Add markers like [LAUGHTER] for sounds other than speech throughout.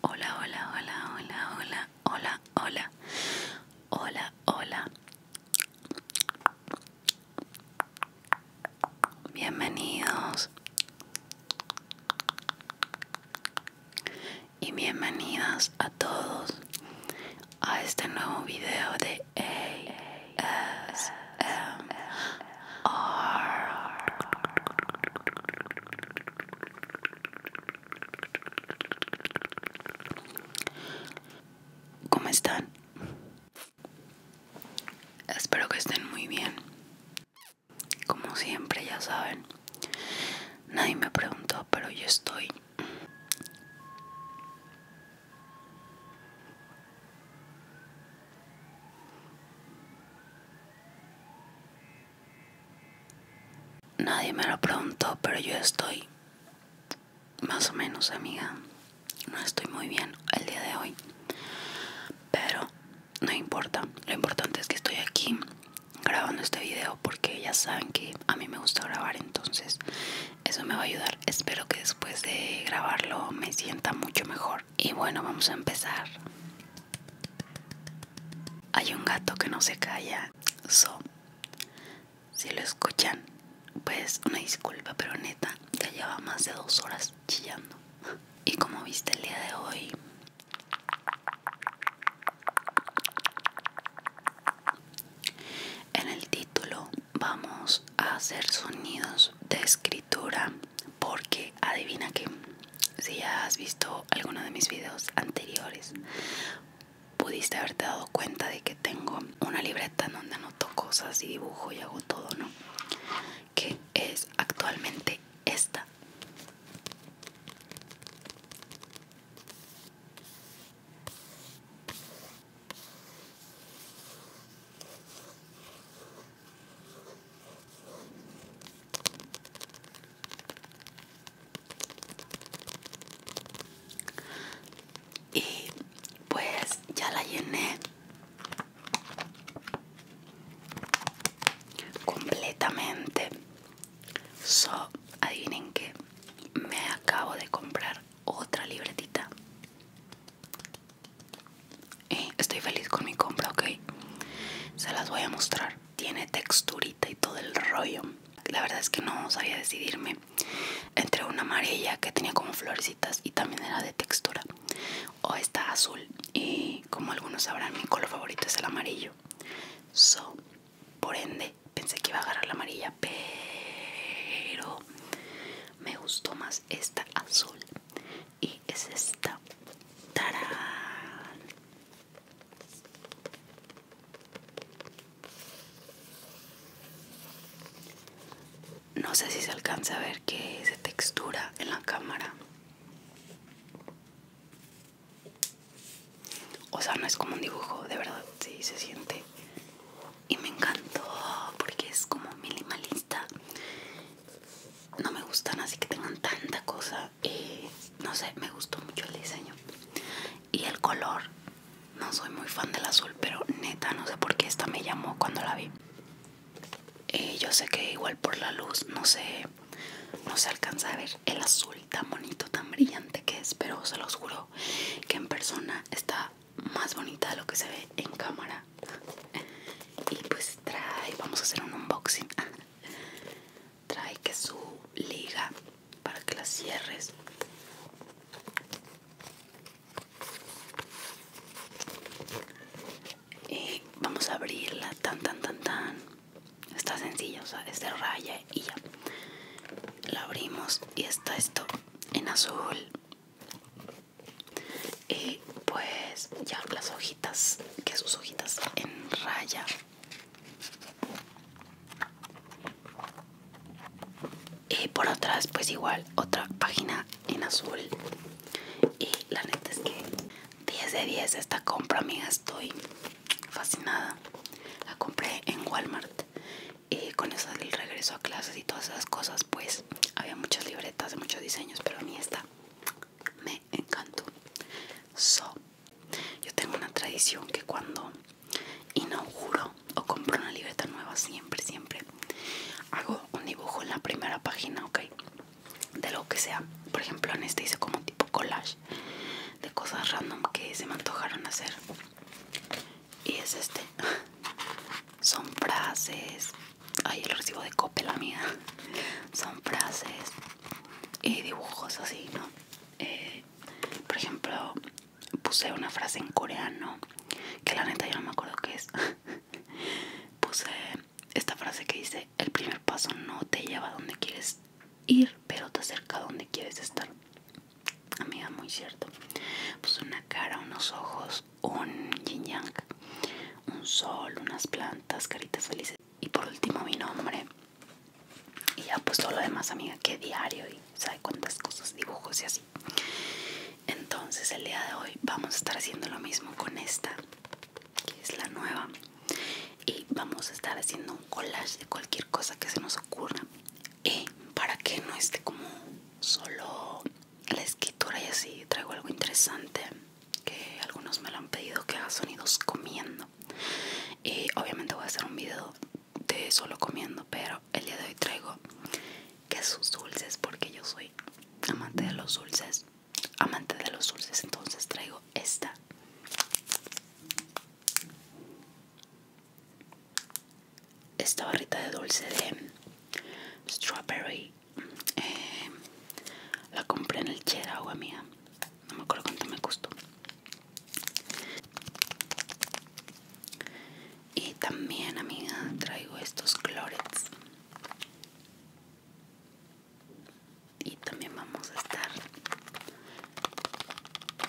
Hola, hola, hola, hola, hola, hola, hola. Hola, hola. Bienvenidos. Y bienvenidas a todos a este nuevo video de EY ¿Cómo están? Espero que estén muy bien. Como siempre, ya saben. Nadie me preguntó, pero yo estoy Nadie me lo preguntó, pero yo estoy más o menos, amiga. No estoy muy bien el día de hoy. Pero no importa. Lo importante es que estoy aquí grabando este video porque ya saben que a mí me gusta grabar, entonces eso me va a ayudar. Espero que después de grabarlo me sienta mucho mejor. Y bueno, vamos a empezar. Hay un gato que no se calla. So, si lo escuchan, pues una disculpa, pero neta, ya lleva más de dos horas chillando. Y como viste el día de hoy, en el título vamos a hacer sonidos de escritura porque adivina que si ya has visto alguno de mis videos anteriores pudiste haberte dado cuenta de que tengo una libreta en donde anoto cosas y dibujo y hago todo, ¿no? Que es actualmente esta. Y pues ya la llené completamente. So, adivinen que me acabo de comprar otra libretita y eh, estoy feliz con mi compra, ok. Se las voy a mostrar. Tiene texturita y todo el rollo. La verdad es que no sabía decidirme entre una amarilla que tenía como florecitas y también era de textura. O esta azul. Y como algunos sabrán, mi color favorito es el amarillo. So, por ende, pensé que iba a agarrar la amarilla, pero me gustó más esta azul y es esta ¡Tarán! no sé si se alcanza a ver que es textura en la cámara o sea no es como un dibujo de verdad sí se siente y me encantó porque es como minimalista. No me gustan así que tengan tanta cosa y no sé, me gustó mucho el diseño. Y el color, no soy muy fan del azul, pero neta no sé por qué esta me llamó cuando la vi. yo sé que igual por la luz no sé no se alcanza a ver el azul tan bonito tan brillante que es pero se los juro que en persona está más bonita de lo que se ve en cámara y pues trae vamos a hacer un unboxing [LAUGHS] trae que su liga para que la cierres y vamos a abrirla tan tan tan tan está sencilla o sea es de raya y ya la abrimos y está esto en azul y pues ya las hojitas que sus hojitas en raya y por otras pues igual otra página en azul y la neta es que 10 de 10 esta compra amiga estoy fascinada la compré en Walmart y con eso del regreso a clases y todas esas cosas pues había muchas libretas, de muchos diseños, pero a mí esta me encantó. So, yo tengo una tradición que cuando inauguro o compro una libreta nueva, siempre, siempre hago un dibujo en la primera página, ok, de lo que sea. Por ejemplo, en este hice como un tipo collage de cosas random que se me antojaron hacer. Y es este. [LAUGHS] Son frases, Ay, el recibo de la amiga. Son frases y dibujos así, ¿no? Eh, por ejemplo, puse una frase en coreano que la neta yo no me acuerdo qué es. [LAUGHS] puse esta frase que dice: El primer paso no te lleva a donde quieres ir, pero te acerca a donde quieres estar. Amiga, muy cierto. Puse una cara, unos ojos un yin yang, un sol, unas plantas, caritas felices. Y por último mi nombre. Y ya pues todo lo demás, amiga, que diario y sabe cuántas cosas, dibujos y así. Entonces el día de hoy vamos a estar haciendo lo mismo con esta, que es la nueva. Y vamos a estar haciendo un collage de cualquier cosa que se nos ocurra. Y para que no esté como solo la escritura y así traigo algo interesante que algunos me lo han pedido que haga sonidos comiendo y obviamente voy a hacer un video de solo comiendo pero el día de hoy traigo quesos dulces porque yo soy amante de los dulces amante de los dulces entonces traigo esta esta barrita de dulce de strawberry em, la compré en el chera amiga, no me acuerdo cuánto me costó y también amiga traigo estos clorets y también vamos a estar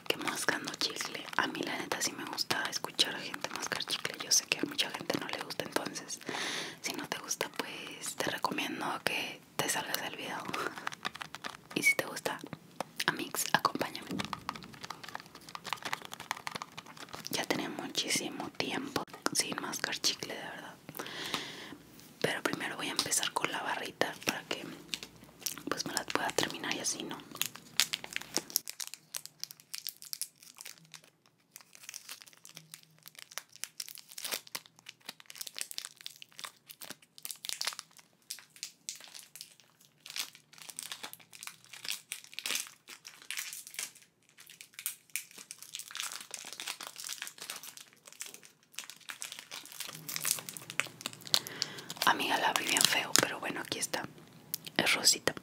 quemando mascando chicle a mí la neta si me gusta escuchar a gente mascar chicle. Yo sé que a mucha gente no le gusta, entonces si no te gusta, pues te recomiendo que te salgas del video. [LAUGHS] Y si te gusta, Amix, acompáñame. Ya tenía muchísimo tiempo sin mascar chicle, de verdad. Pero primero voy a empezar con la barrita para que pues me la pueda terminar y así, ¿no? Amiga, la vi bien feo, pero bueno, aquí está. Es rosita.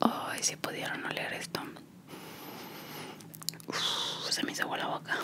Ay, si pudieron oler esto. se me hizo la boca.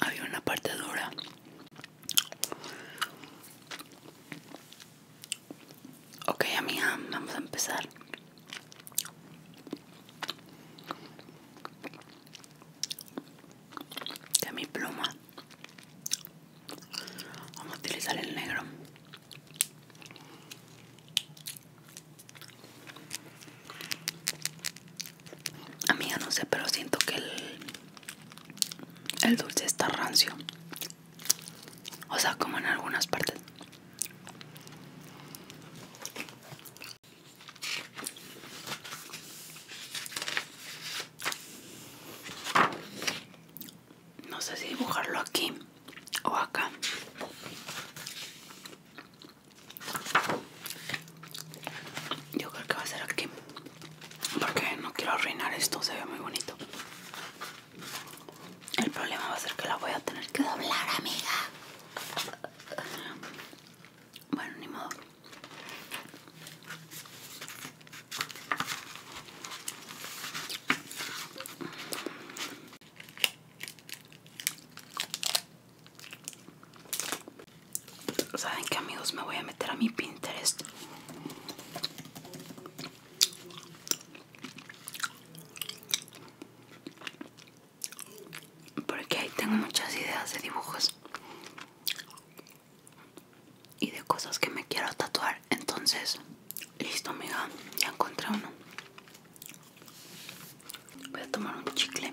Había una parte dura Ok, amiga, vamos a empezar. De mi pluma. Vamos a utilizar el negro. Amiga, no sé, pero siento que el, el dulce está rancio. O sea, como en algunas partes. No sé si dibujarlo aquí o acá. Yo creo que va a ser aquí. Porque no quiero arruinar esto, se ve muy bonito. El problema va a ser que la voy a tener que doblar, amiga. Bueno, ni modo. ¿Saben qué amigos? Me voy a meter a mi Pinterest porque ahí tengo muchas ideas de dibujos y de cosas que me quiero tatuar. Entonces, listo, amiga, ya encontré uno. Voy a tomar un chicle.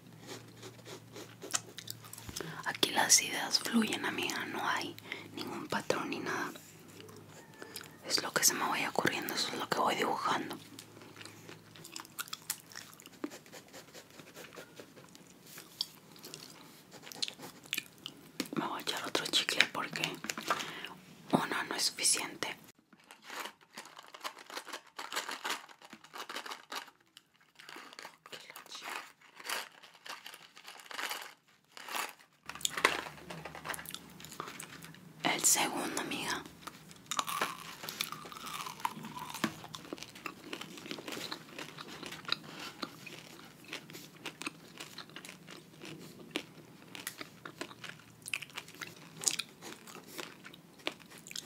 Aquí las ideas fluyen, amiga, no hay ningún patrón ni nada. Es lo que se me vaya ocurriendo, eso es lo que voy dibujando. Me voy a echar otro chicle porque uno no es suficiente. El segundo, amiga.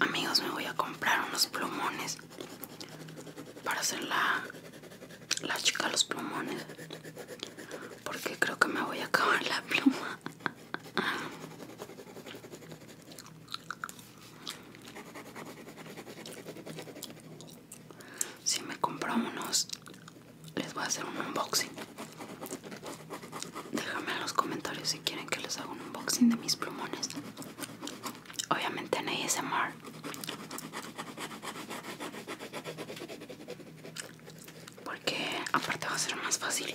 Amigos, me voy a comprar unos plumones para hacer la, la chica los plumones. Porque creo que me voy a acabar la pluma. Si [LAUGHS] me compro unos les voy a hacer un unboxing. Déjame en los comentarios si quieren que les haga un unboxing de mis plumones. Obviamente en ASMR. Porque aparte va a ser más fácil.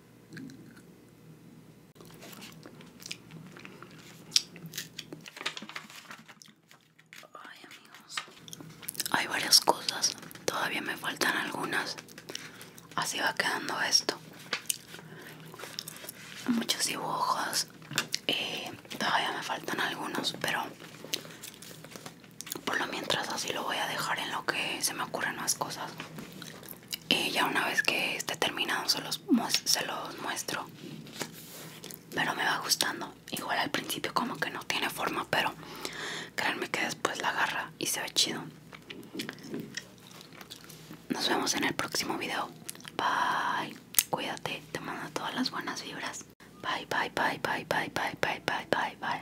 Ay amigos, hay varias cosas, todavía me faltan algunas. Así va quedando esto. Muchos dibujos, Y eh, todavía me faltan algunos, pero por lo mientras así lo voy a dejar en lo que se me ocurren más cosas y ya una vez que esté terminado se los, se los muestro pero me va gustando igual al principio como que no tiene forma pero créanme que después la agarra y se ve chido nos vemos en el próximo video bye cuídate te mando todas las buenas vibras bye bye bye bye bye bye bye bye bye bye